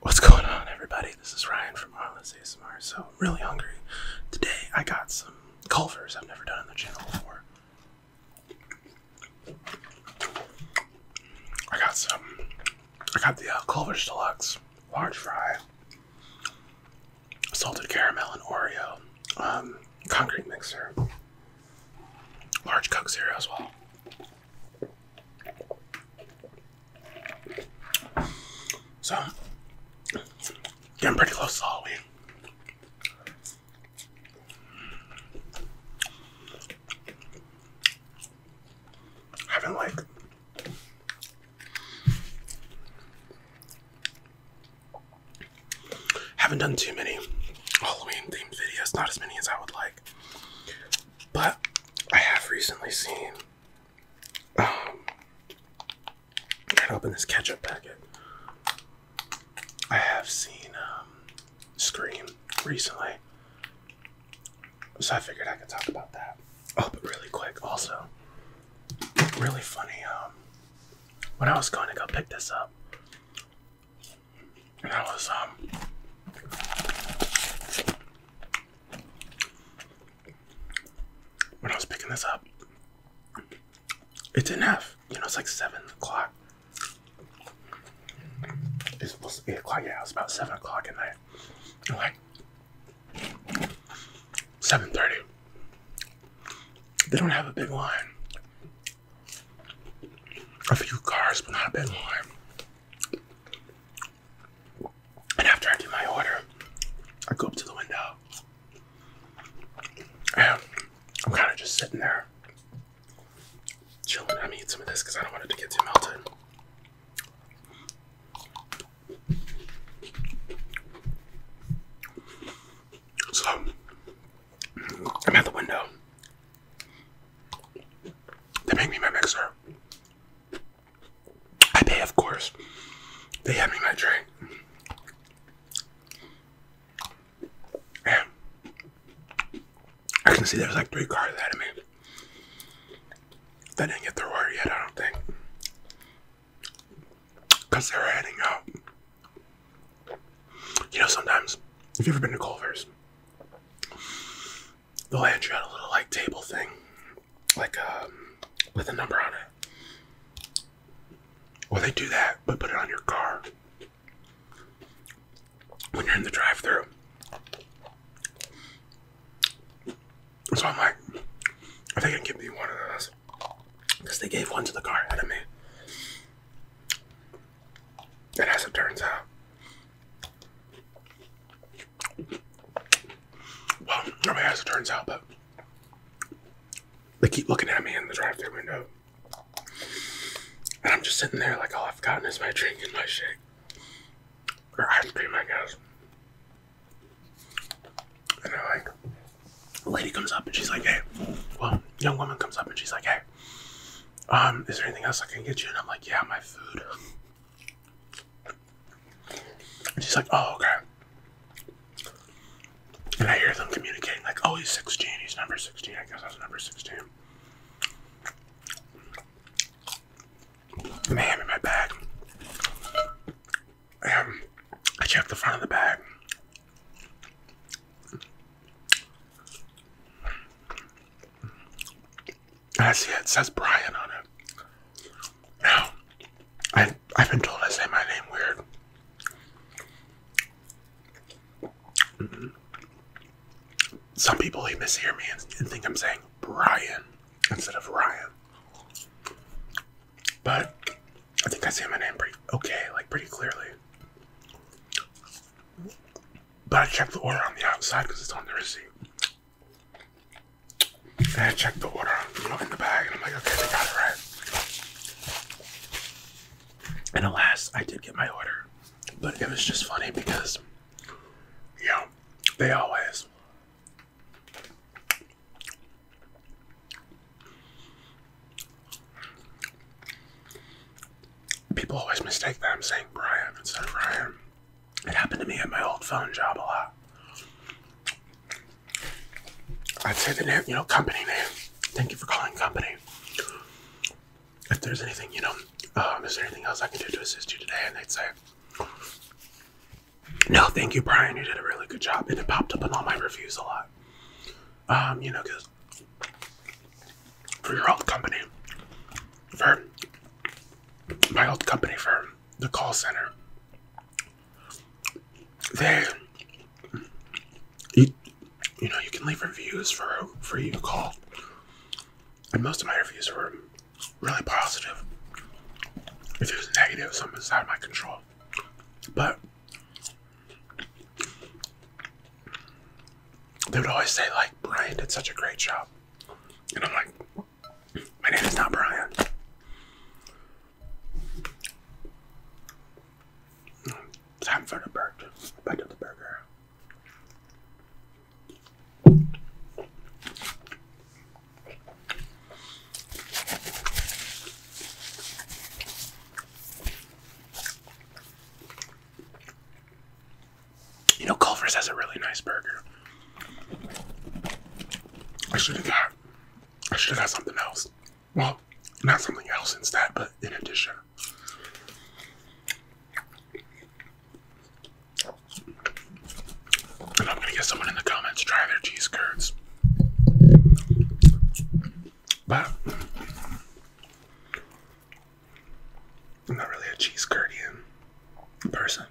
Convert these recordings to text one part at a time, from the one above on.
What's going on, everybody? This is Ryan from Harmless ASMR. So, really hungry. Today, I got some Culvers I've never done on the channel before. I got some. I got the uh, Culver's Deluxe large fry, salted caramel and Oreo, um, concrete mixer, large Coke Zero as well. So, getting pretty close to Halloween. Haven't like haven't done too many Halloween themed videos, not as many as I would like. But I have recently seen Oh. Um, I gotta open this ketchup packet. I have seen um, Scream recently, so I figured I could talk about that. Oh, but really quick, also, really funny. Um, when I was going to go pick this up, and I was um, when I was picking this up, it's enough. you know, it's like 7 o'clock. It's supposed to be 8 o'clock, yeah, it's about 7 o'clock at night. And 7.30. They don't have a big line. A few cars, but not a big line. And after I do my order, I go up to the window. And I'm kind of just sitting there, chilling. I'm going some of this because I don't want it to get too melted. So I'm at the window. They make me my mixer. I pay, of course. They had me my drink. And I can see there's like three cars ahead of me. They didn't get their order yet, I don't think. Because they were heading out. You know, sometimes, have you ever been to Culver's, they'll hand you out a little like table thing, like um, with a number on it. Or well, they do that, but put it on your car when you're in the drive-through. So I'm like, are they going give me one of those? Because they gave one to the car ahead of me. And as it turns out, well, nobody has it turns out, but they keep looking at me in the drive-through window, and I'm just sitting there like all I've gotten is my drink and my shake or ice cream, I guess. And I like, a lady comes up and she's like, "Hey," well, young woman comes up and she's like, "Hey, um, is there anything else I can get you?" And I'm like, "Yeah, my food." And she's like, oh, okay. And I hear them communicating, like, oh, he's 16, he's number 16. I guess I was number 16. i I'm in my bag. I checked the front of the bag. I see it says Brian on it. Now, I, I've been told I say my name weird. Mm-hmm. Some people even mishear me and, and think I'm saying Brian instead of Ryan. But I think I say my name pretty okay, like pretty clearly. But I checked the order on the outside because it's on the receipt. And I checked the order, you know, in the bag, and I'm like, okay, they got it right. And alas, I did get my order. But it was just funny because, you know, they always. People always mistake that I'm saying Brian instead of Ryan. It happened to me at my old phone job a lot. I'd say the name, you know, company name. Thank you for calling company. If there's anything, you know, um, is there anything else I can do to assist you today? And they'd say, no, thank you, Brian. You did a really good job. And it popped up in all my reviews a lot. Um, you know, because for your old company, for my old company for the call center. They, you, you know, you can leave reviews for for you call, and most of my reviews were really positive. If it was negative, something's out of my control. But they would always say like, "Brian did such a great job," and I'm like, my name is not Brian. Time for the burger. Back to the burger. You know, Culver's has a really nice burger. I should have got, I should have something else. Well, not something else instead, but in addition. And I'm gonna get someone in the comments try their cheese curds. But I'm not really a cheese curdian person.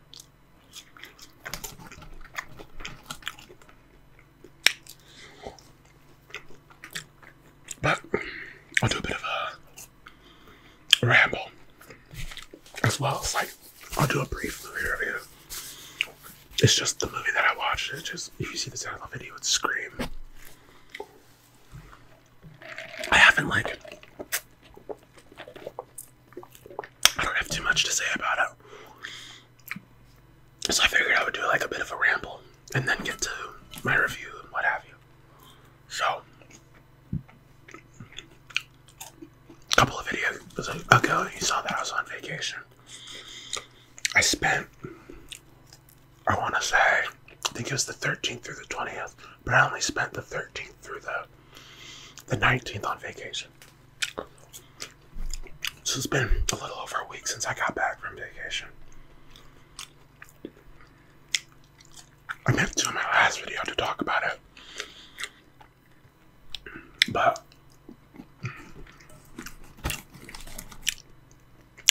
But I'll do a bit of a ramble as well as like I'll do a brief movie review. It's just the movie that I watched. It's just if you see this out of the video, it's Scream. I haven't like I don't have too much to say about it. So I figured I would do like a bit of a ramble and then get to my review and what have you. So, a couple of videos ago, you saw that I was on vacation. I spent, I want to say, I think it was the 13th through the 20th but I only spent the 13th through the the 19th on vacation. So it's been a little over a week since I got back from vacation. I meant to in my last video to talk about it. But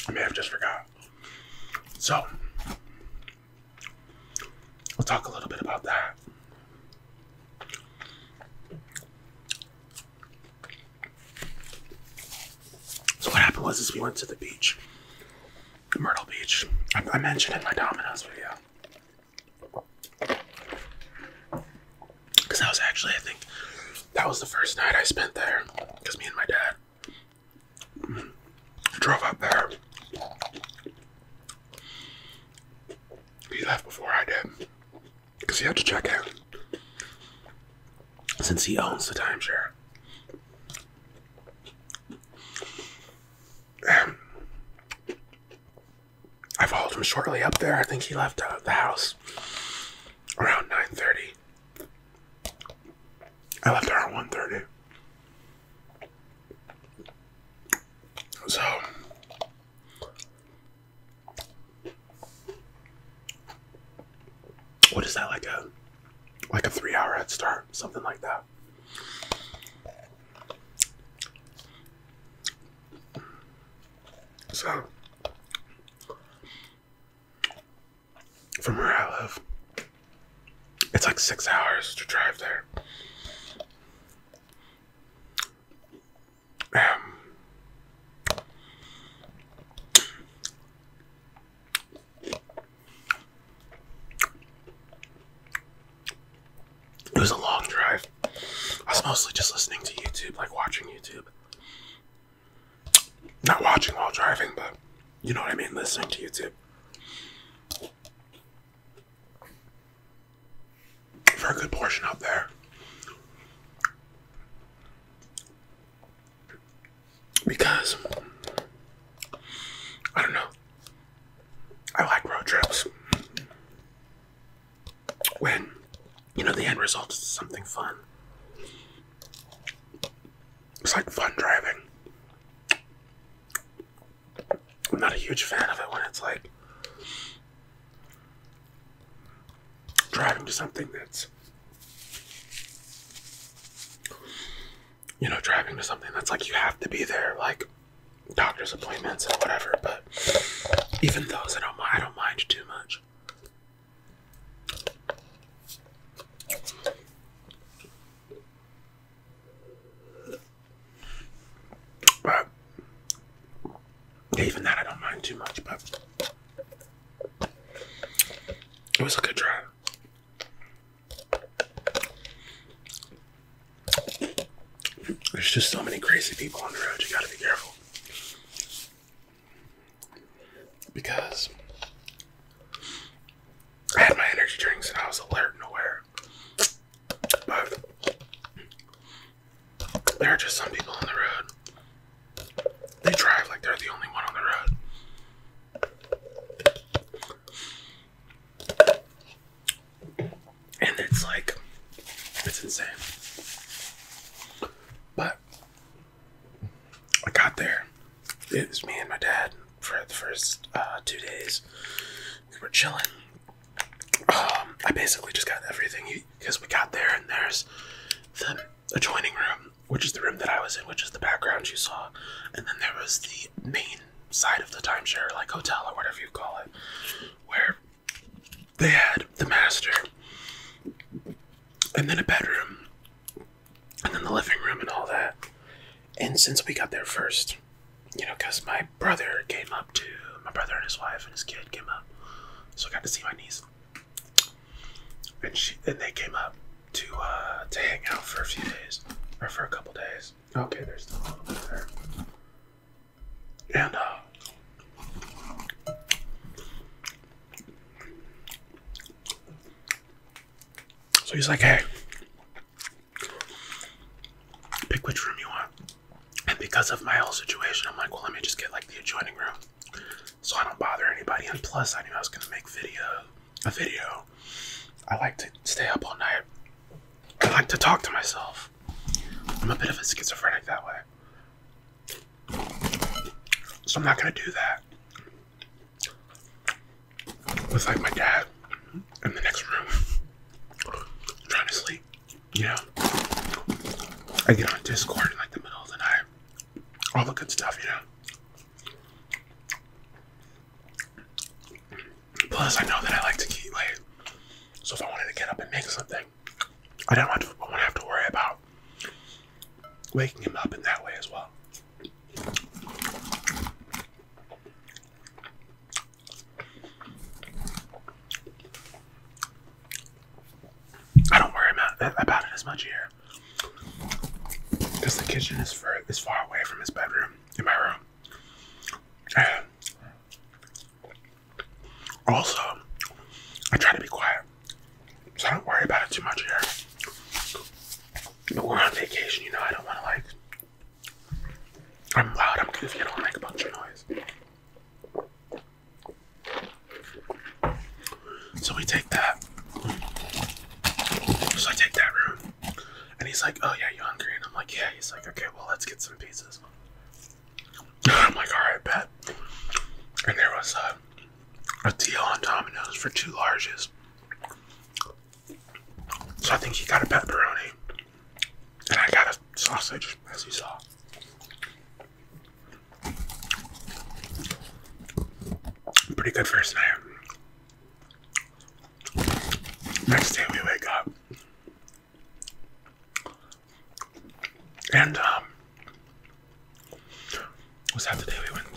I may have just forgot. So We'll talk a little bit about that. So what happened was is we went to the beach, Myrtle Beach. I, mentioned in my Domino's video. Because that was actually, I think, that was the first night I spent there. Because me and my dad drove up there. He left before I did because he had to check out. since he owns the time share, I followed him shortly up there. I think he left uh, the house around 9:30. I left around 1:30. So what is that like a like a three hour head start, something like that. So from where I live, it's like six hours to drive there. Um, it was a long drive. I was mostly just listening to YouTube, like watching YouTube. Not watching while driving, but you know what I mean, listening to YouTube for a good portion out there. Because I don't know. I like road trips. When you know the end result is something fun. It's like fun driving. I'm not a huge fan of it when it's like driving to something that's you know driving to something that's like you have to be there like doctor's appointments and whatever but even those I don't mind I don't mind too much but even that, I don't mind too much. But it was a good drive. There's just so many crazy people on the road. You gotta be careful because I had my energy drinks and I was alert and aware. But there are just some people on the road. They drive like they're the only one on the road. And it's like, it's insane. But I got there. It was me and my dad for the first uh, two days we were chilling. Um, I basically just got everything because we got there, and there's the adjoining room, which is the room that I was in, which is the background you saw, and then there was the main side of the timeshare, like hotel or whatever you call it, where they had the master, and then a bedroom, and then the living room, and all that. And since we got there first, you know, because my brother came up to my brother and his wife and his kid came up, so I got to see my niece, and she and they came up to uh, to hang out for a few days or for a couple days. Okay, there's still a little bit there, and uh, so he's like, "Hey, pick which room you want. And because of my whole situation, I'm like, well, let me just get like the adjoining room, so I don't bother anybody. And plus, I knew I was gonna make video, a video. I like to stay up all night. I like to talk to myself. I'm a bit of a schizophrenic that way, so I'm not gonna do that with like my dad in the next room trying to sleep. You know, I get on Discord like the middle of the night. All the good stuff, you know. Plus, I know that I like to keep late. So if I wanted to get up and make something, I don't want to, not have to worry about waking him up in that way as well. I don't worry about it as much here because the kitchen is far away from his bedroom in my room. also, I try to be quiet, so I don't worry about it too much here. But we're on vacation, you know. I don't want to like I'm loud, I'm goofy, I do make a bunch of noise. So we take that. So I take that room. And he's like, Oh, yeah, you are hungry? And I'm like, Yeah. He's like, Okay, well, let's get some pizzas. I'm like, All right, bet. And there was a, a deal on Domino's for two larges. So I think he got a pepperoni. And I got a sausage, as you saw. Pretty good first night. Next day we wake up. And, um, what's that the day we went and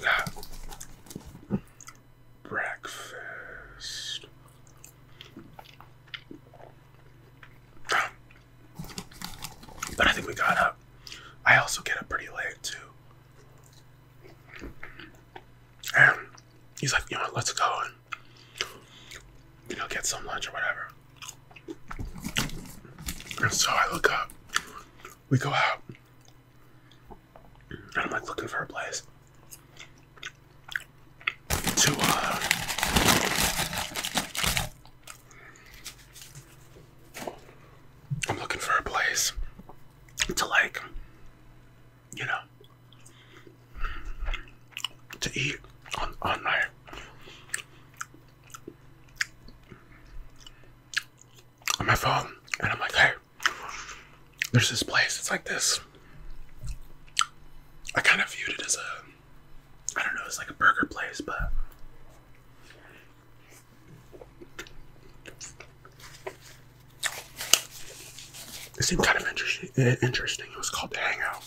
breakfast. But I think we got up. I also get up pretty late too. And he's like, you know what, let's go and you know get some lunch or whatever. And so I look up. We go out. And I'm like looking for a place to uh, I'm looking for a place to like, you know, to eat on on my on my phone, and I'm like, hey, there's this place. It's like this. I kind of viewed it as a, I don't know, it's like a burger place, but it seemed kind of interesting. Interesting. It was called the Hangout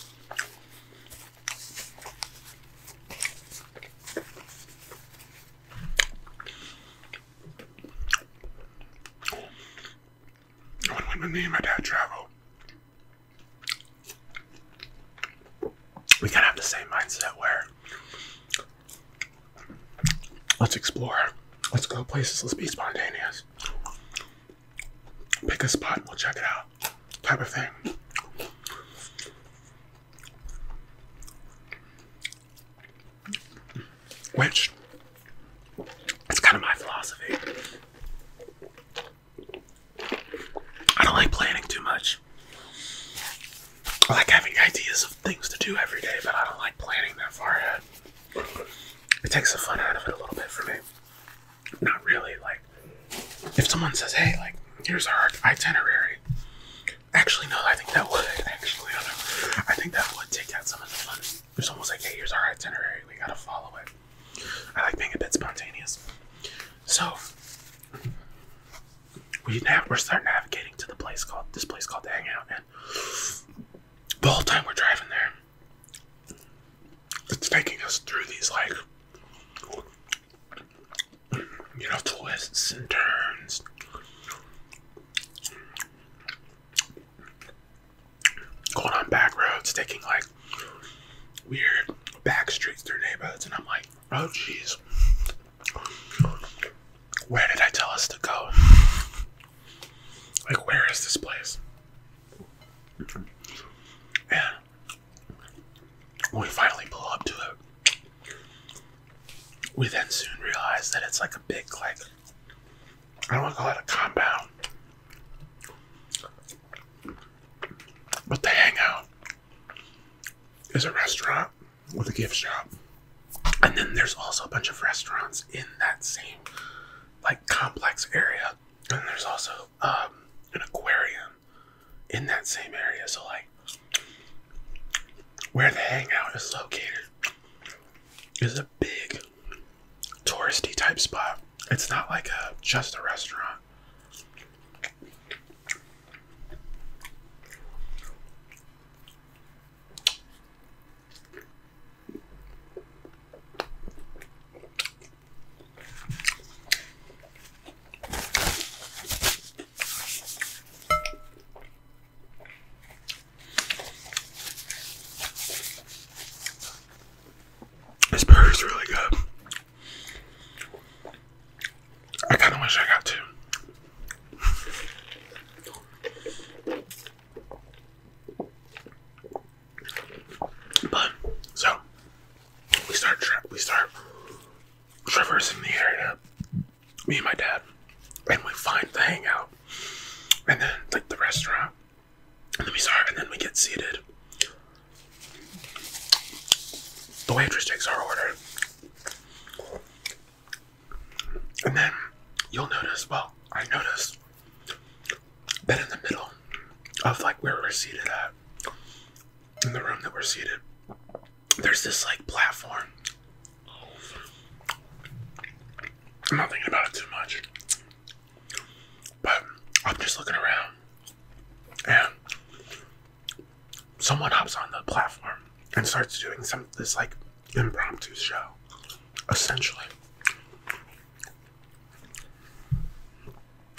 when, me and my dad travel, we kind of have the same mindset where let's explore, let's go places, let's be spontaneous, pick a spot, we'll check it out, type of thing which it's kind of my philosophy. I don't like planning too much. I like having ideas of things to do every day, but I don't like planning that far ahead. It takes the fun out of it a little bit for me. Not really. Like, if someone says, hey, like, here's our itinerary. Actually, no, I think that would. Actually, I, I think that would take out some of the fun. It's almost like, hey, here's our itinerary. We gotta follow it. I like being a bit spontaneous. So we we're starting navigating to the place called this place called the Hangout, and the whole time we're driving there, it's taking us through these like you know twists and turns going on back roads, taking like weird back streets through neighborhoods, and I'm like, oh jeez, where did I tell us to go? Like, where is this place? And when we finally pull up to it, we then soon realize that it's like a big like I don't want to call it a compound, but the Hangout is a restaurant with a gift shop, and then there's also a bunch of restaurants in that same like complex area, and there's also um, an aquarium in that same area. So like where the hangout is located is a big touristy type spot. It's not like a just a restaurant. This burger's really good. I kind of wish I got two. But so we start we start traversing the area. Me and my dad, and we find the hangout, and then like the restaurant and then we start, and then we get seated. The waitress takes our order. And then you'll notice, well, I noticed that in the middle of like where we're seated at, in the room that we're seated, there's this like platform. I'm not thinking about it too much. But I'm just looking around and someone hops on the platform and starts doing some this like impromptu show, essentially.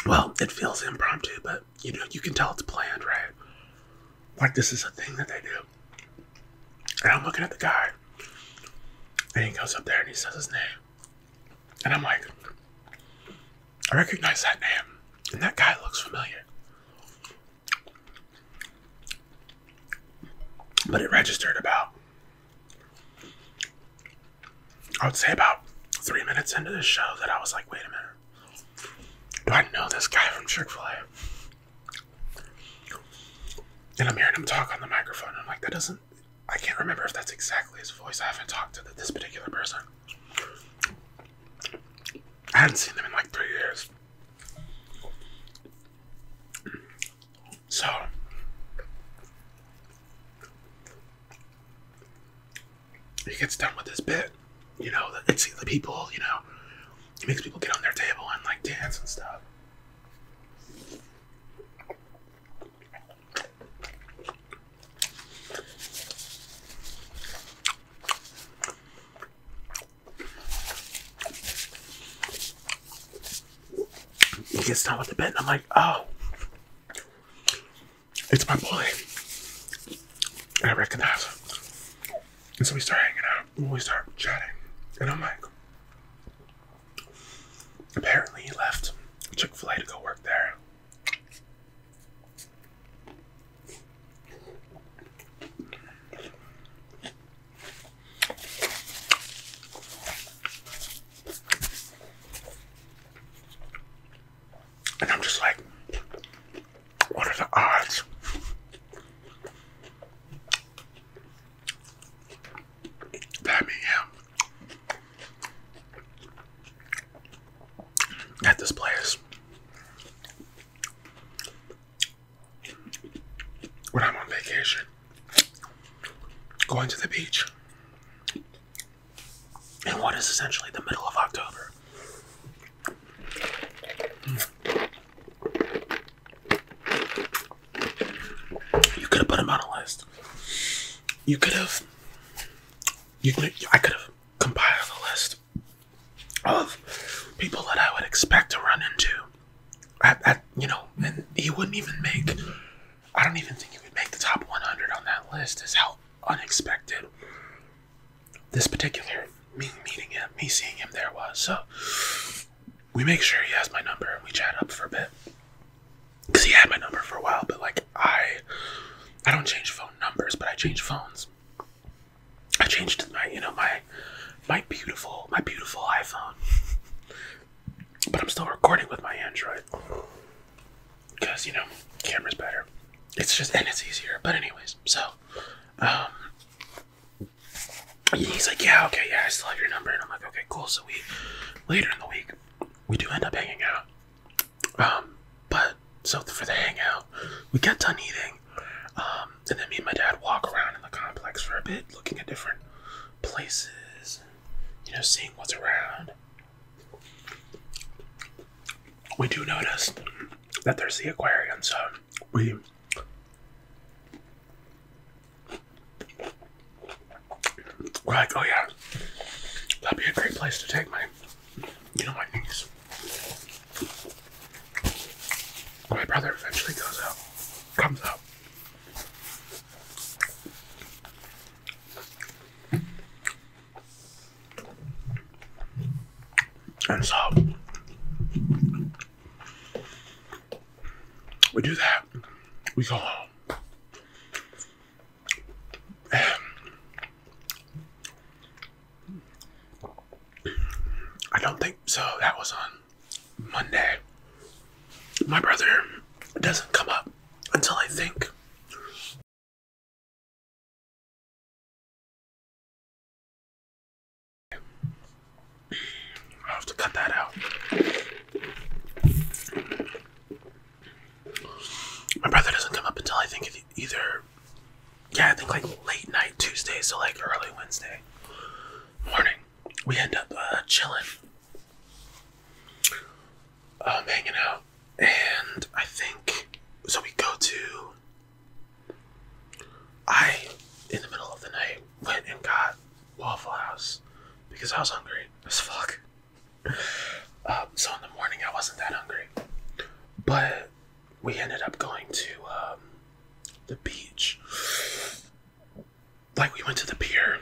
Well, it feels impromptu, but you know you can tell it's planned, right? Like this is a thing that they do. And I'm looking at the guy. And he goes up there and he says his name. And I'm like, I recognize that name. And that guy looks familiar. But it registered about, I would say about three minutes into the show that I was like, wait a minute. Do I know this guy from Chick fil A? And I'm hearing him talk on the microphone. and I'm like, that doesn't I can't remember if that's exactly his voice. I haven't talked to this particular person. I hadn't seen them in like three years. So, he gets done with this bit. You know, it's the people, you know, he makes people get on their table and like dance and stuff. He gets down with the bed, and I'm like, oh, it's my boy. And I recognize him. And so we start hanging out. We start chatting. And I'm like, Apparently, he left Chick fil A to go work there. And I'm just like, what are the odds? I mean, yeah. At this place, when I'm on vacation, going to the beach, in what is essentially the middle of October. You could have put him on a list. You could have. You could. I could have compiled a list of people that I would expect to run into. At, at you know, and he wouldn't even make. I don't even think he would make the top 100 on that list. Is how unexpected this particular meeting me seeing him there was. So we make sure he has my number and we chat up for a bit. Cause he had my number for a while, but like I I don't change phone numbers, but I change phones. I changed my you know my my beautiful my beautiful iPhone. but I'm still recording with my Android. Cause you know, camera's better. It's just and it's easier. But anyways, so um he's like, yeah, okay, yeah, I still have your number. And I'm like, okay, cool. So we, later in the week, we do end up hanging out. Um, but so for the hangout, we get done eating. Um, and then me and my dad walk around in the complex for a bit, looking at different places, you know, seeing what's around. We do notice that there's the aquarium, so we we're like, oh yeah, that'd be a great place to take my, you know, my niece. My brother eventually goes out, comes out. And so we do that. We go home. I don't think so. That was on Monday. My brother doesn't come up until I think. I have to cut that out. My brother doesn't come up until I think either. Yeah, I think like late night Tuesday, so like early Wednesday morning. We end up uh, chilling, um, hanging out, and I think so. We go to. I, in the middle of the night, went and got Waffle House because I was hungry as fuck. Um, so in the morning I wasn't that hungry, but we ended up going to um, the beach. Like we went to the pier.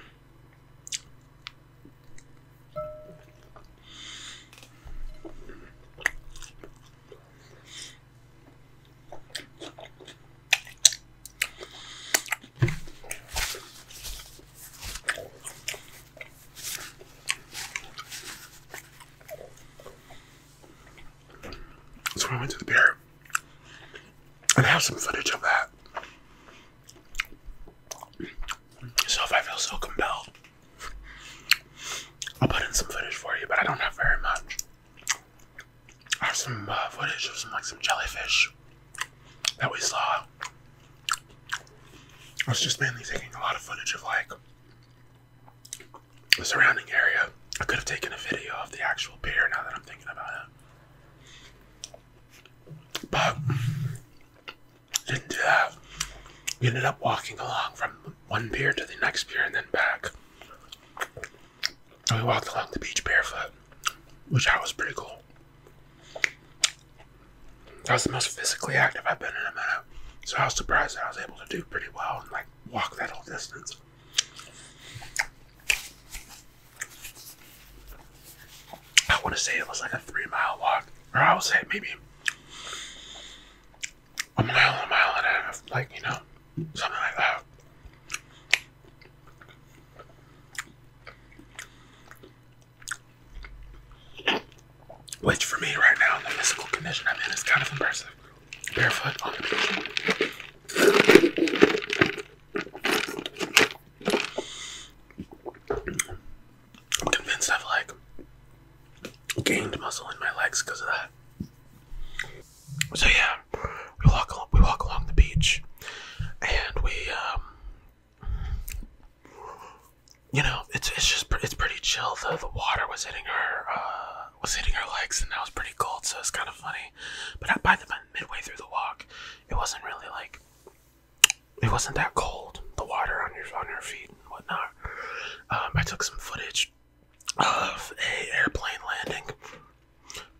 So I went to the beer and I have some footage of that. So if I feel so compelled, I'll put in some footage for you, but I don't have very much. Have some uh, footage of some like some jellyfish that we saw. I was just mainly taking a lot of footage of like the surrounding area. I could have taken a video of the actual pier now that I'm thinking about it. But didn't do that. We ended up walking along from one pier to the next pier and then back. And we walked along the beach barefoot, which I was pretty cool. That was the most physically active I've been in a minute. So I was surprised that I was able to do pretty well and like walk that whole distance. I want to say it was like a three mile walk, or I would say maybe a mile, a mile and a half, like you know, something like that. Which for me right now the physical condition I'm in is kind of impressive. Barefoot on the beach. I'm convinced I've like gained muscle in my legs because of that. So yeah, we walk along, we walk along the beach, and we, um, you know, it's it's just it's pretty chill. The the water was hitting her uh, was hitting her legs, and that was pretty cold, so it's kind of funny. But by the midway through the walk, it wasn't really like it wasn't that cold. The water on your on your feet and whatnot. Um, I took some footage of a airplane landing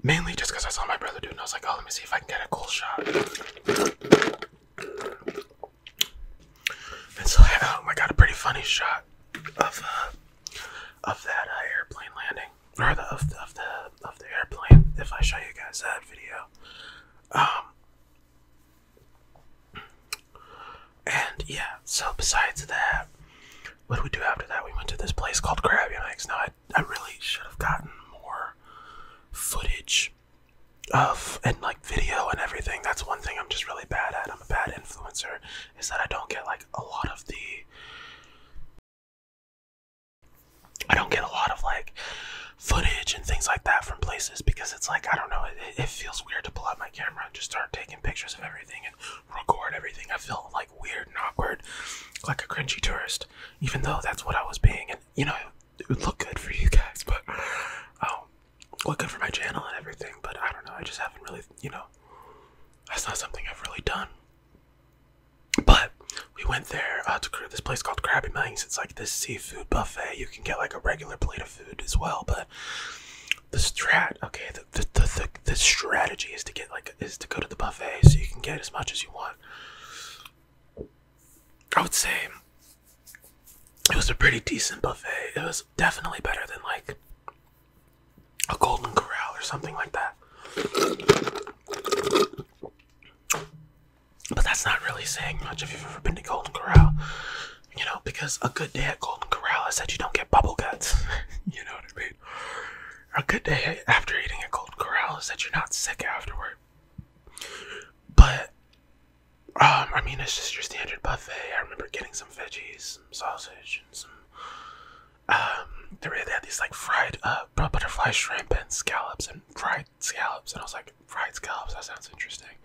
Mainly just because I saw my brother do it and I was like, oh, let me see if I can get a cool shot. And so I had, I got a pretty funny shot of uh, of that uh, airplane landing, or the, of, the, of the of the airplane. If I show you guys that video, um, and yeah. So besides that, what did we do after that? We went to this place called Crab Yikes. Now I I, really should have gotten more footage of and like video and everything. That's one thing I'm just really bad at. I'm a bad influencer, is that I don't get like a lot of the I don't get a lot of like footage and things like that from places because it's like I don't know it feels weird to pull out my camera and just start taking pictures of everything and record everything. I feel like weird and awkward, like a cringy tourist, even though that's what I was being. And you know, it would look good for you guys, but um, look good for my channel and everything. But I don't know, I just haven't really, you know, that's not something I've really done. But we went there uh, to this place called Krabby Mangs. It's like this seafood buffet. You can get like a regular plate of food as well, but the strat, okay, the the the strategy is to get like is to go to the buffet so you can get as much as you want I would say it was a pretty decent buffet. It was definitely better than like a Golden Corral or something like that. But that's not really saying much if you've ever been to Golden Corral, you know, because a good day at Golden Corral is that you don't get bubble guts. you know what I mean? A good day after eating a cold corral is that you're not sick afterward. But, um, I mean, it's just your standard buffet. I remember getting some veggies, some sausage, and some. Um, they really had these like fried uh, butterfly shrimp and scallops and fried scallops, and I was like, fried scallops. That sounds interesting.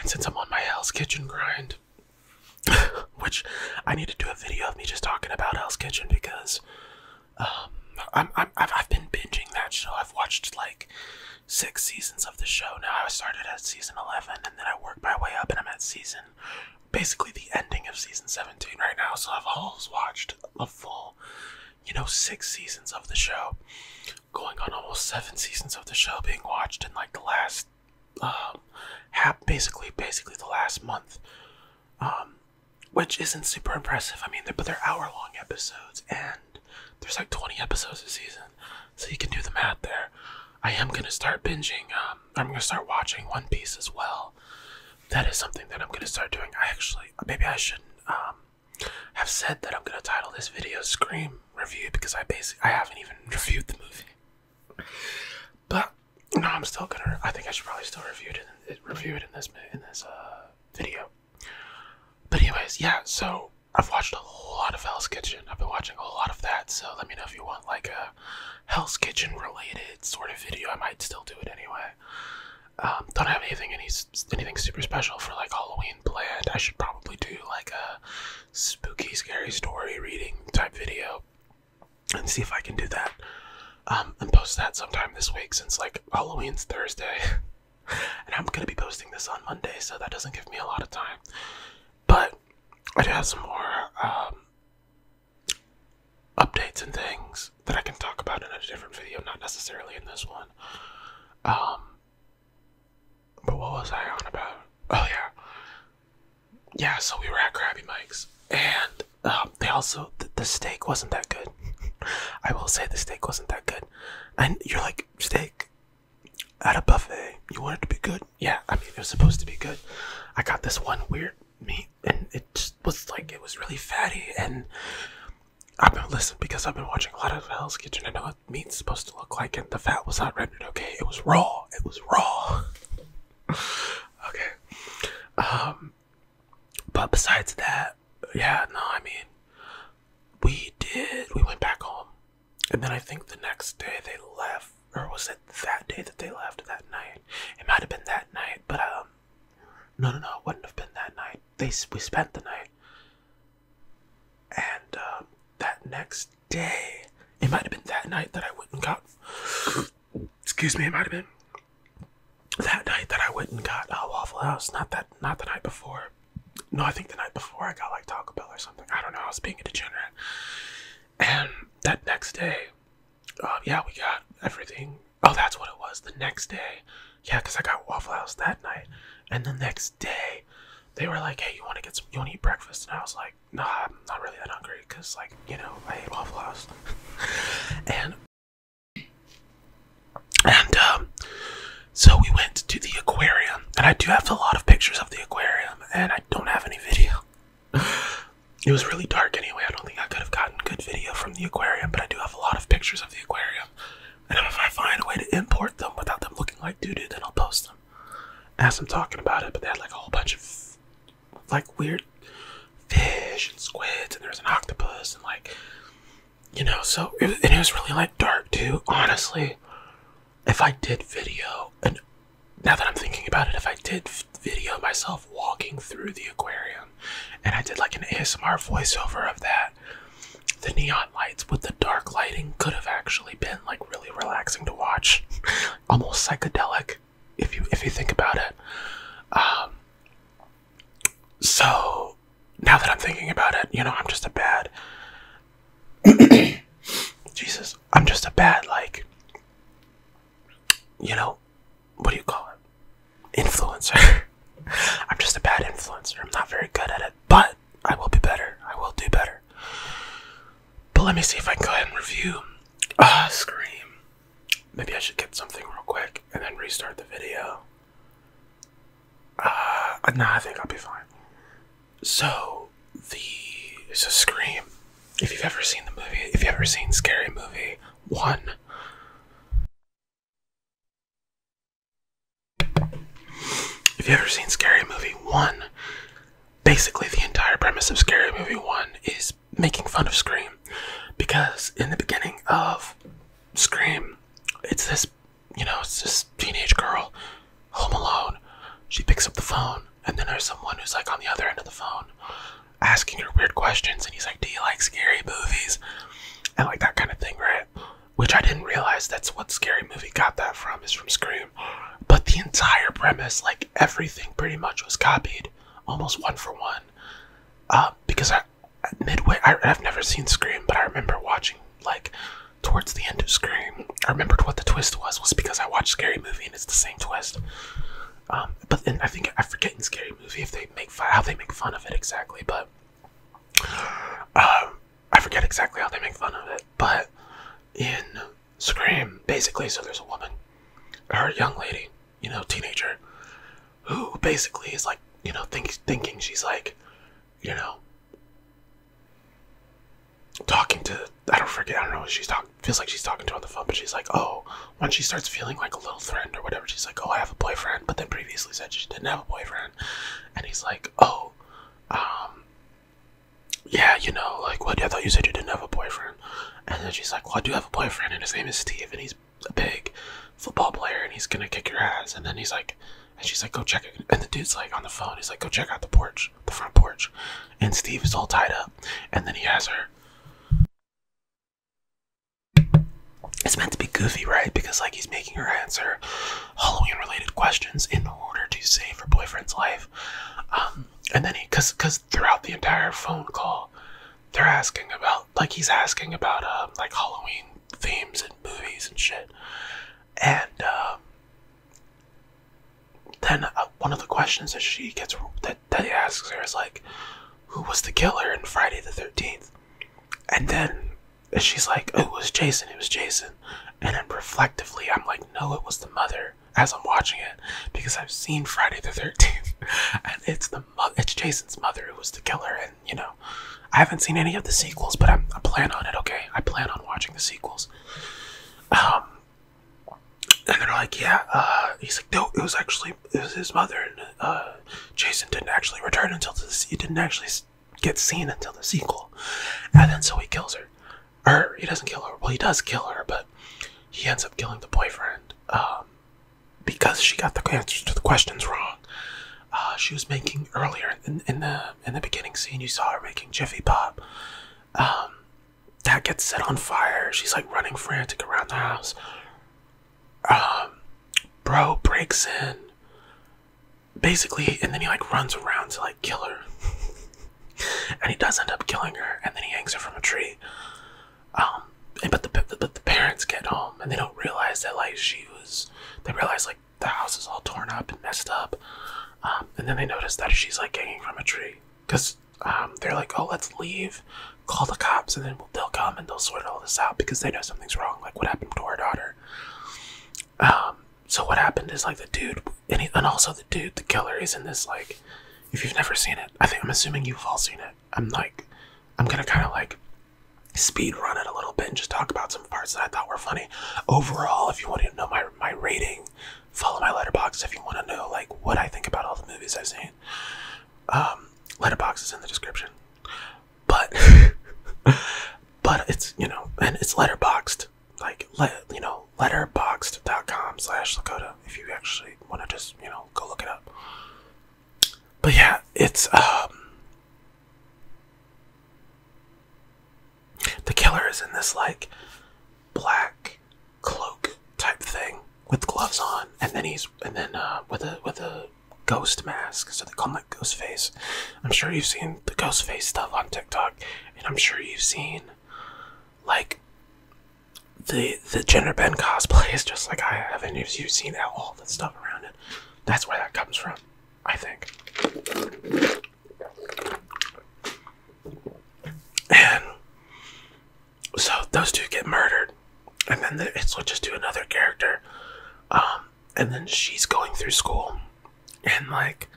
And since I'm on my Hell's Kitchen grind, which I need to do a video of me just talking about Hell's Kitchen because um, I'm, I'm, I've been binging that show. I've watched like six seasons of the show now. I started at season 11 and then I worked my way up and I'm at season basically the ending of season 17 right now. So I've almost watched a full, you know, six seasons of the show, going on almost seven seasons of the show being watched in like the last, um, basically, basically the last month. Um, which isn't super impressive. I mean, but they're hour long episodes, and there's like 20 episodes a season, so you can do the math there. I am gonna start binging. Um, I'm gonna start watching One Piece as well. That is something that I'm gonna start doing. I actually, maybe I shouldn't um, have said that I'm gonna title this video "Scream Review" because I basically I haven't even reviewed the movie. But no, I'm still gonna. I think I should probably still review it. In, review it in this in this uh, video. But anyways, yeah. So I've watched a lot of Hell's Kitchen. I've been watching a lot of that. So let me know if you want like a Hell's Kitchen related sort of video. I might still do it anyway. Um, don't have anything any anything super special for like Halloween planned. I should probably do like a spooky, scary story reading type video and see if I can do that um, and post that sometime this week since like Halloween's Thursday. and I'm going to be posting this on Monday, so that doesn't give me a lot of time. But I do have some more um, updates and things that I can talk about in a different video, not necessarily in this one. Um, but what was I on about? Oh, yeah. Yeah, so we were at Krabby Mike's, and um, they also the, steak wasn't that good. I will say the steak wasn't that good. And you're like steak at a buffet. You want it to be good? Yeah, I mean it was supposed to be good. I got this one weird meat and it was like it was really fatty and I've been listen because I've been watching a lot of Hell's Kitchen. I know what meat's supposed to look like, and the fat was not rendered okay. It was raw. It was raw. okay. Um, but besides that, yeah, no, I mean, we did, we went back home. And then I think the next day they left, or was it that day that they left that night? It might have been that night, but, um, no, no, no, it wouldn't have been that night. They, we spent the night. And, um, that next day, it might have been that night that I went and got excuse me, it might have been that night that I went and got a Waffle House. Not that, not the night before. No, I think the night before I got like Taco Bell or something. I don't know. I was being a degenerate. And that next day, uh, yeah, we got everything. Oh, that's what it was. The next day, yeah, because I got Waffle House that night. And the next day, they were like, "Hey, you want to get some? You want to eat breakfast?" And I was like, "Nah, I'm not really that hungry, cause like you know I ate Waffle House." and and um, so we went to the aquarium, and I do have a lot of pictures of the aquarium, and I don't have any video. It was really dark anyway. I don't think I could have gotten good video from the aquarium, but I do have a lot of pictures of the aquarium. And if I find a way to import them without them looking like doodoo, then I'll post them as I'm talking about it. But they had like a whole bunch of like weird fish and squids, and there's an octopus, and like you know. So it, and it was really like dark too. Honestly, if I did video, and now that I'm thinking about it, if I did video myself walking through the aquarium, and I did like an ASMR voiceover of that, the neon lights with the dark lighting could have actually been like really relaxing to watch, almost psychedelic. If you if you think about it, um, so now that I'm thinking about it, you know, I'm just a bad. Jesus, I'm just a bad, like, you know, what do you call it? Influencer. I'm just a bad influencer. I'm not very good at it, but I will be better. I will do better. But let me see if I can go ahead and review uh, Scream. Maybe I should get something real quick and then restart the video. Uh, nah, I think I'll be fine. So, the. So, Scream. If you've ever seen the movie, if you've ever seen Scary Movie 1, if you've ever seen Scary Movie 1, basically the entire premise of Scary Movie 1 is making fun of Scream because in the beginning of Scream, it's this, you know, it's this teenage girl home alone. She picks up the phone, and then there's someone who's like on the other end of the phone asking her weird questions, and he's like, Do you like scary movies? And like that kind of thing, right? Which I didn't realize that's what Scary Movie got that from, is from Scream. But the entire premise, like everything pretty much was copied, almost one for one. Uh, because I midway I, have never seen Scream, but I remember watching like towards the end of Scream. I remembered what the twist was was because I watched Scary Movie and it's the same twist. Um, but then I think I forget in Scary Movie if they make fun, how they make fun of it exactly, but um, I forget exactly how they make fun of it. But in Scream, basically, so there's a woman, her young lady, you know, teenager, who basically is like, you know, thinking she's like, you know, talking to, I don't forget, I don't know what she's talking, feels like she's talking to on the phone, but she's like, oh, when she starts feeling like a little threatened or whatever, she's like, oh, I have a boyfriend, but then previously said she didn't have a boyfriend. And he's like, oh, um, yeah, you know, like, what, I thought you said you didn't have a boyfriend. And then she's like, well, I do have a boyfriend, and his name is Steve, and he's a big football player and he's gonna kick your ass. And then he's like, and she's like, go check it. And the dude's like on the phone. He's like, go check out the porch, the front porch. And Steve is all tied up. And then he has her. It's meant to be goofy, right? Because like he's making her answer Halloween-related questions in order to save her boyfriend's life. Um, and then he, cause, cause throughout the entire phone call, they're asking about like he's asking about um, like Halloween themes and movies and shit, and um, then uh, one of the questions that she gets that he asks her is like, "Who was the killer in Friday the 13th? And then she's like, oh, "It was Jason. It was Jason." And then reflectively, I'm like, "No, it was the mother." As I'm watching it, because I've seen Friday the 13th, and it's the it's Jason's mother who was the killer, and you know, I haven't seen any of the sequels, but i plan on it. Okay, I plan on watching the sequels. Um, and they're like, yeah. Uh, he's like, no, it was actually it was his mother, and uh, Jason didn't actually return until this. He didn't actually get seen until the sequel, and then so he kills her. Or he doesn't kill her. Well, he does kill her, but he ends up killing the boyfriend. Um, because she got the answers to the questions wrong. Uh, she was making earlier in, the in the beginning scene. You saw her making Jiffy Pop. Um, that gets set on fire. She's like running frantic around the house. Um, bro breaks in. Basically, and then he like runs around to like kill her, and he does end up killing her, and then he hangs her from a tree um but the but the parents get home and they don't realize that like she was they realize like the house is all torn up and messed up um, and then they notice that she's like hanging from a tree because um they're like oh let's leave call the cops and then they'll come and they'll sort all this out because they know something's wrong like what happened to our daughter um so what happened is like the dude and also the dude the killer is in this like if you've never seen it i think i'm assuming you've all seen it I'm like, I'm gonna kind of like speed run it a little bit and just talk about some parts that I thought were funny. Overall, if you want to know my my rating, follow my letterbox. If you want to know like what I think about all the movies I've seen, um, letterbox is in the description. But but it's you know, and it's letterboxed like let you know letterboxed.com slash Lakota if you actually want to just you know go look it up but yeah, it's um the killer is in this like black cloak type thing with gloves on, and then he's and then uh, with a with a ghost mask, so they call him like ghost face. I'm sure you've seen the ghost face stuff on TikTok, and I'm sure you've seen like the the gender bend cosplay is just like I haven't you have seen all the stuff around it. That's where that comes from, I think. And so those two get murdered, and then the, it switches to another character, um, and then she's going through school, and like,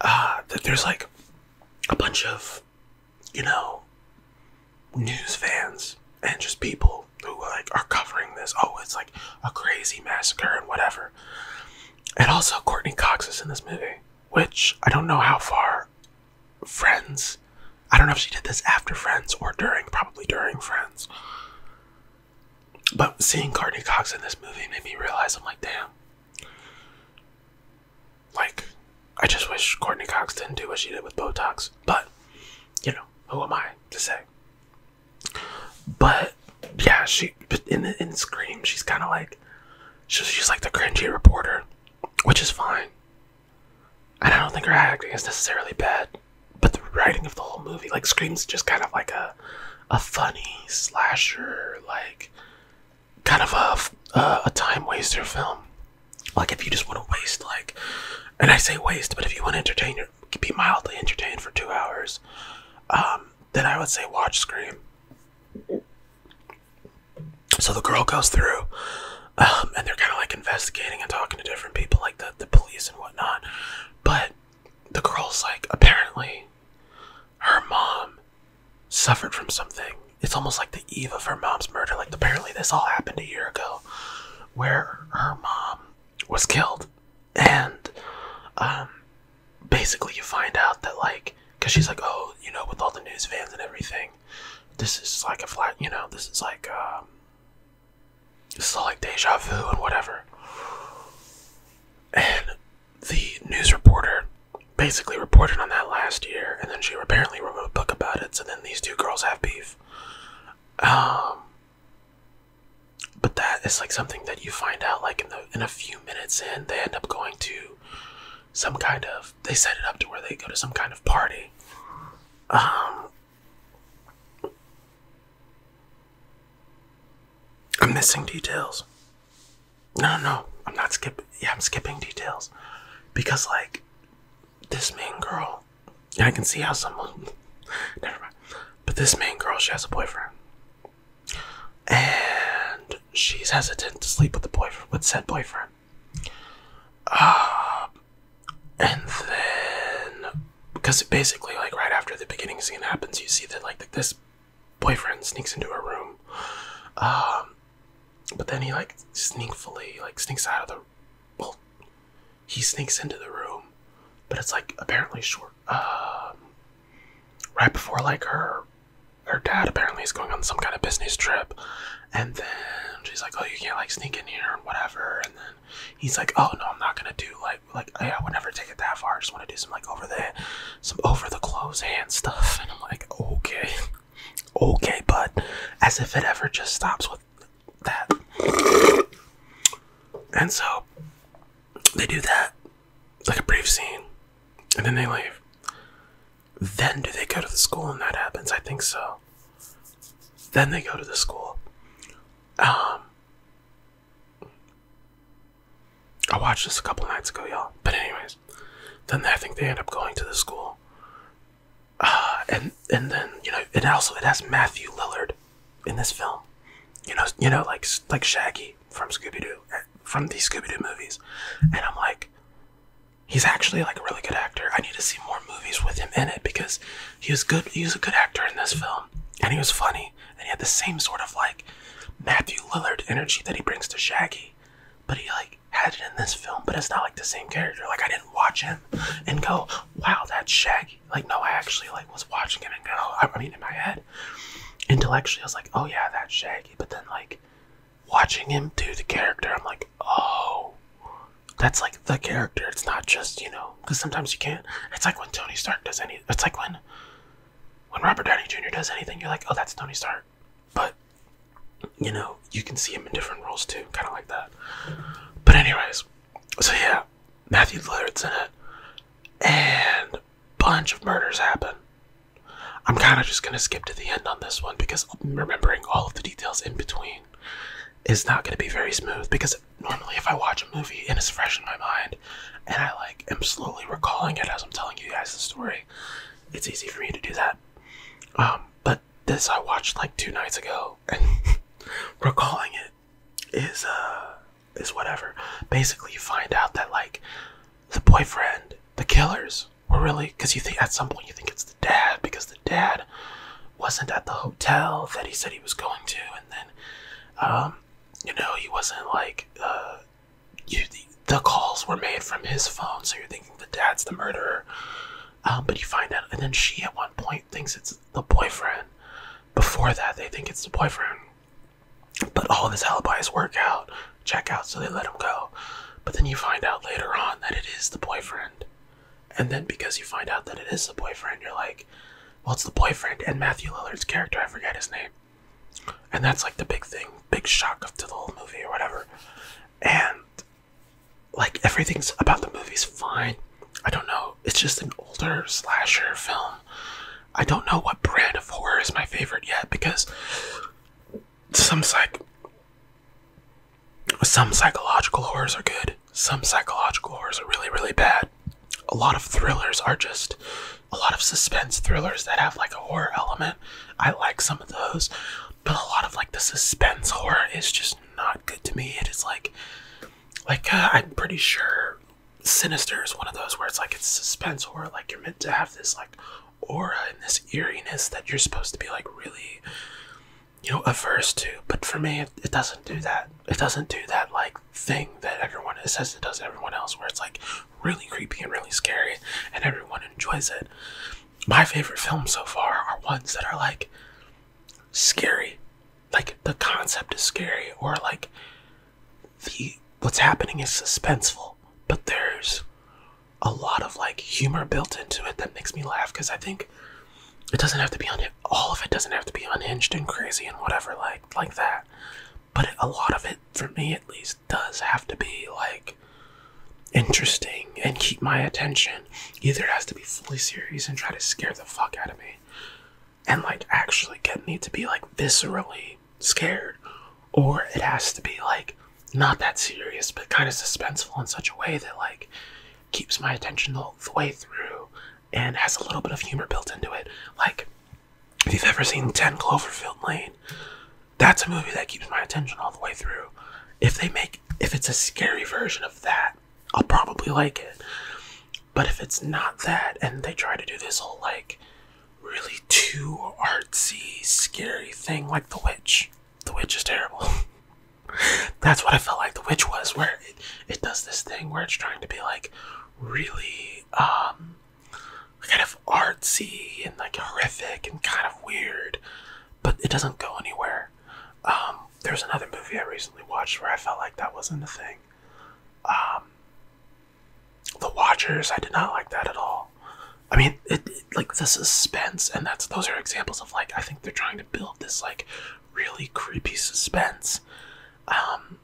uh, there's like a bunch of you know, news fans and just people who like are covering this. Oh, it's like a crazy massacre and whatever. And also Courtney Cox is in this movie, which I don't know how far Friends. I don't know if she did this after Friends or during, probably during Friends. But seeing Courtney Cox in this movie made me realize I'm like, damn. Like, I just wish Courtney Cox didn't do what she did with Botox, but you know, who am I to say? But yeah, she in in Scream, she's kind of like she's, she's like the cringy reporter, which is fine. And I don't think her acting is necessarily bad, but the writing of the whole movie, like Scream's just kind of like a a funny slasher, like kind of a, a time waster film. Like if you just want to waste like and I say waste, but if you want to entertain your be mildly entertained for two hours, um, then I would say watch Scream. So the girl goes through, um, and they're kind of like investigating and talking to different people, like the, the police and whatnot. But the girl's like, apparently, her mom suffered from something. It's almost like the eve of her mom's murder. Like, apparently, this all happened a year ago where her mom was killed, and um, basically you find out that like, cause she's like, oh, you know, with all the news vans and everything, this is like a flat, you know, this is like, um, this is all like deja vu and whatever. And the news reporter basically reported on that last year, and then she apparently wrote a book about it. So then these two girls have beef um, but that is like something that you find out like in the in a few minutes in they end up going to some kind of they set it up to where they go to some kind of party. Um I'm missing details. No, no, I'm not skipping. Yeah, I'm skipping details because like this main girl, I can see how someone, never mind, but this main girl, she has a boyfriend. And she's hesitant to sleep with the boyfriend, with said boyfriend. Um, and then, because basically, like right after the beginning scene happens, you see that like this boyfriend sneaks into her room. Um, but then he like sneakfully like sneaks out of the well, he sneaks into the room, but it's like apparently short. Um, right before like her, her dad apparently is going on some kind of business trip, and then she's like, "Oh, you can't like sneak in here and whatever." And then he's like, "Oh no, I'm not gonna do like like I, would never take it that far. I just want to do some like over the some over the clothes hand stuff." And I'm like, "Okay." Okay, but as if it ever just stops with that. And so they do that, It's like a brief scene, and then they leave. Then do they go to the school and that happens? I think so. Then they go to the school. Um, I watched this a couple nights ago, y'all. But anyways, then I think they end up going to the school, and and then you know, it also it has Matthew Lillard in this film. You know, you know, like like Shaggy from Scooby Doo, uh, from the Scooby Doo movies, and I'm like, he's actually like a really good actor. I need to see more movies with him in it because he was good. He was a good actor in this film, and he was funny, and he had the same sort of like Matthew Lillard energy that he brings to Shaggy, but he like had it in this film, but it's not like the same character. Like I didn't watch him and go, "Wow, that Shaggy." Like no, I actually like was watching him and go. I mean, in my head, intellectually, I was like, "Oh yeah, that Shaggy," but then like watching him do the character, I'm like, "Oh." That's like the character. It's not just you know, because sometimes you can't. It's like when Tony Stark does any. It's like when, when Robert Downey Jr. does anything, you're like, oh, that's Tony Stark. But you know, you can see him in different roles too, kind of like that. But anyways, so yeah, Matthew Lillard's in it, and bunch of murders happen. I'm kind of just gonna skip to the end on this one because remembering all of the details in between is not gonna be very smooth. Because normally, if I watch a movie and it's fresh in my mind, and I like am slowly recalling it as I'm telling you guys the story, it's easy for me to do that. Um, but this I watched like two nights ago, and recalling it is uh is whatever. Basically, you find out that like the boyfriend, the killers were really because you think at some point you think it's the dad because the dad wasn't at the hotel that he said he was going to, and then um you know he wasn't like uh you the calls were made from his phone, so you're thinking the dad's the murderer. Um, but you find out, and then she at one point thinks it's the boyfriend. Before that, they think it's the boyfriend. But all of his alibis work out, check out, so they let him go. But then you find out later on that it is the boyfriend. And then because you find out that it is the boyfriend, you're like, well, it's the boyfriend and Matthew Lillard's character, I forget his name. And that's like the big thing, big shock of to the whole movie or whatever. And like everything's about the movie's fine. I don't know. It's just an older slasher film. I don't know what brand of horror is my favorite yet because some psych some psychological horrors are good. Some psychological horrors are really really bad. A lot of thrillers are just a lot of suspense thrillers that have like a horror element. I like some of those, but a lot of like the suspense horror is just not good to me. It is like, like uh, I'm pretty sure Sinister is one of those where it's like it's suspense horror. Like you're meant to have this like aura and this eeriness that you're supposed to be like really, you know, averse to. But for me, it, doesn't do that. It doesn't do that like thing that everyone says it does everyone else, where it's like really creepy and really scary, and everyone enjoys it. My favorite films so far are ones that are like scary. Like the concept is scary, or like the what's happening is suspenseful, but there's a lot of like humor built into it that makes me laugh because I think it doesn't have to be on all of it doesn't have to be unhinged and crazy and whatever like like that. But a lot of it, for me at least, does have to be like interesting and keep my attention, either has to be fully serious and try to scare the fuck out of me and like actually get me to be like viscerally scared, or it has to be like not that serious but kind of suspenseful in such a way that like keeps my attention the, the way through and has a little bit of humor built into it. Like, if you've ever seen 10 Cloverfield Lane, that's a movie that keeps my attention all the way through. If they make if it's a scary version of that, I'll probably like it. But if it's not that, and they try to do this whole like really too artsy, scary thing like The Witch, The Witch is terrible. That's what I felt like The Witch was, where it, it does this thing where it's trying to be like really um, kind of artsy and like horrific and kind of weird, but it doesn't go anywhere. Um, there's another movie I recently watched where I felt like that wasn't a thing. Um, the Watchers, I did not like that at all. I mean, like the suspense, and that's those are examples of like I think they're trying to build this like really creepy suspense, um,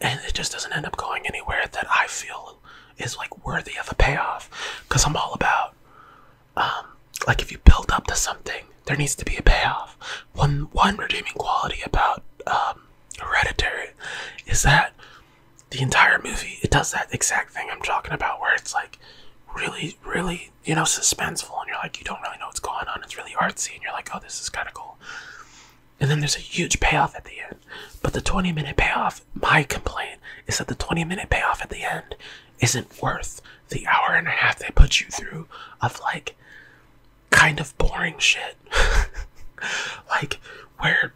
and it just doesn't end up going anywhere that I feel is like worthy of a payoff. Because I'm all about um, like if you build up to something, there needs to be a payoff. One one redeeming quality about um, Hereditary is that the entire movie it does that exact thing I'm talking about, where it's like really, really, you know, suspenseful, and you're like, you don't really know what's going on. It's really artsy, and you're like, oh, this is kind of cool. And then there's a huge payoff at the end. But the 20 minute payoff, my complaint is that the 20 minute payoff at the end isn't worth the hour and a half they put you through of like kind of boring shit. like where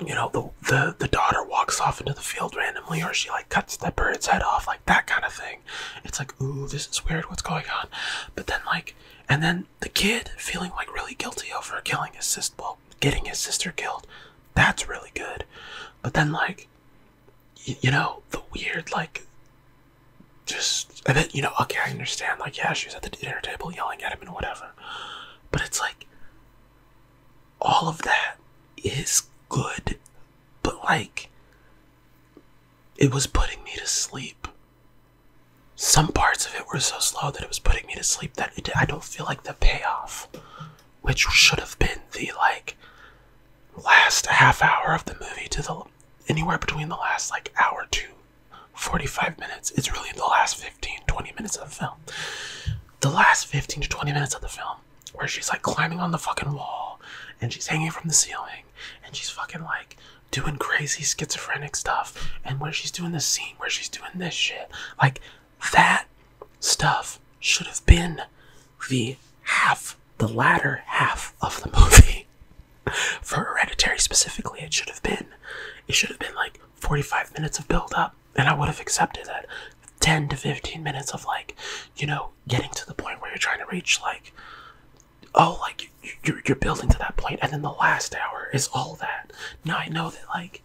you know the, the daughter walks off into the field randomly or she like cuts the bird's head off like that kind of thing it's like ooh this is weird what's going on but then like and then the kid feeling like really guilty over killing his sister well getting his sister killed that's really good but then like you know the weird like just and then you know okay i understand like yeah she was at the dinner table yelling at him and whatever but it's like all of that is good but like it was putting me to sleep some parts of it were so slow that it was putting me to sleep that i don't feel like the payoff which should have been the like last half hour of the movie to the anywhere between the last like hour to 45 minutes. It's really the last 15, 20 minutes of the film. The last 15 to 20 minutes of the film where she's like climbing on the fucking wall and she's hanging from the ceiling and she's fucking like doing crazy schizophrenic stuff and when she's doing the scene where she's doing this shit like that stuff should have been the half the latter half of the movie. For Hereditary specifically, it should have been it should have been like 45 minutes of build up, and I would have accepted that 10 to 15 minutes of like, you know, getting to the point where you're trying to reach like oh, like you're you're building to that point, and then the last hour is all that. Now I know that like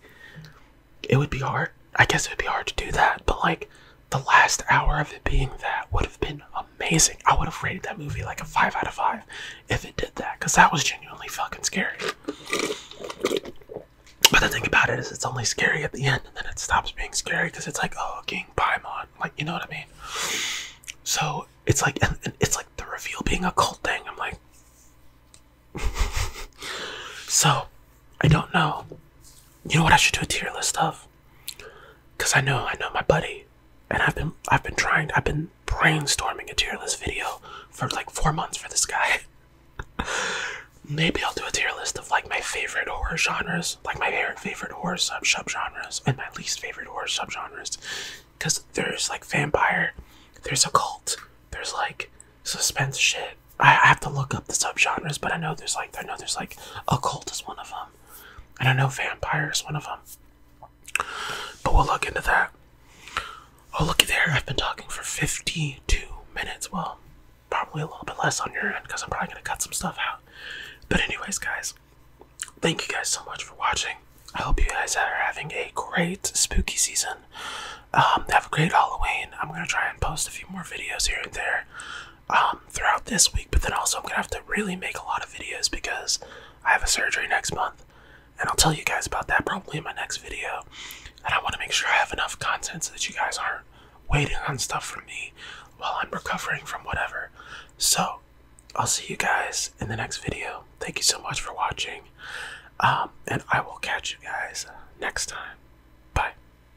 it would be hard I guess it'd be hard to do that, but like the last hour of it being that would have been amazing. I would have rated that movie like a 5 out of 5 if it did that, because that was genuinely fucking scary. But the thing about it is, it's only scary at the end, and then it stops being scary because it's like, oh, King Paimon. Like, you know what I mean? So it's like, and, it's like the reveal being a cult thing. I'm like, so I don't know. You know what? I should do a tier list of because I know I know my buddy and I've been I've been trying I've been brainstorming a tier list video for like four months for this guy. Maybe I'll do a tier list of like my favorite horror genres, like my favorite favorite horror subgenres and my least favorite horror subgenres. Cause there's like vampire, there's occult, there's like suspense shit, I have to look up the subgenres, but I know there's like I know there's like occult is one of them, and I know vampire is one of them. But we'll look into that. Oh, looky there! I've been talking for fifty-two minutes. Well, probably a little bit less on your end because I'm probably gonna cut some stuff out. But anyways, guys, thank you guys so much for watching. I hope you guys are having a great spooky season. Um, have a great Halloween. I'm gonna try and post a few more videos here and there. Um, throughout this week, but then also I'm gonna have to really make a lot of videos because I have a surgery next month, and I'll tell you guys about that probably in my next video. And I want to make sure I have enough content so that you guys aren't waiting on stuff from me while I'm recovering from whatever. So I'll see you guys in the next video. Thank you so much for watching, um, and I will catch you guys next time. Bye.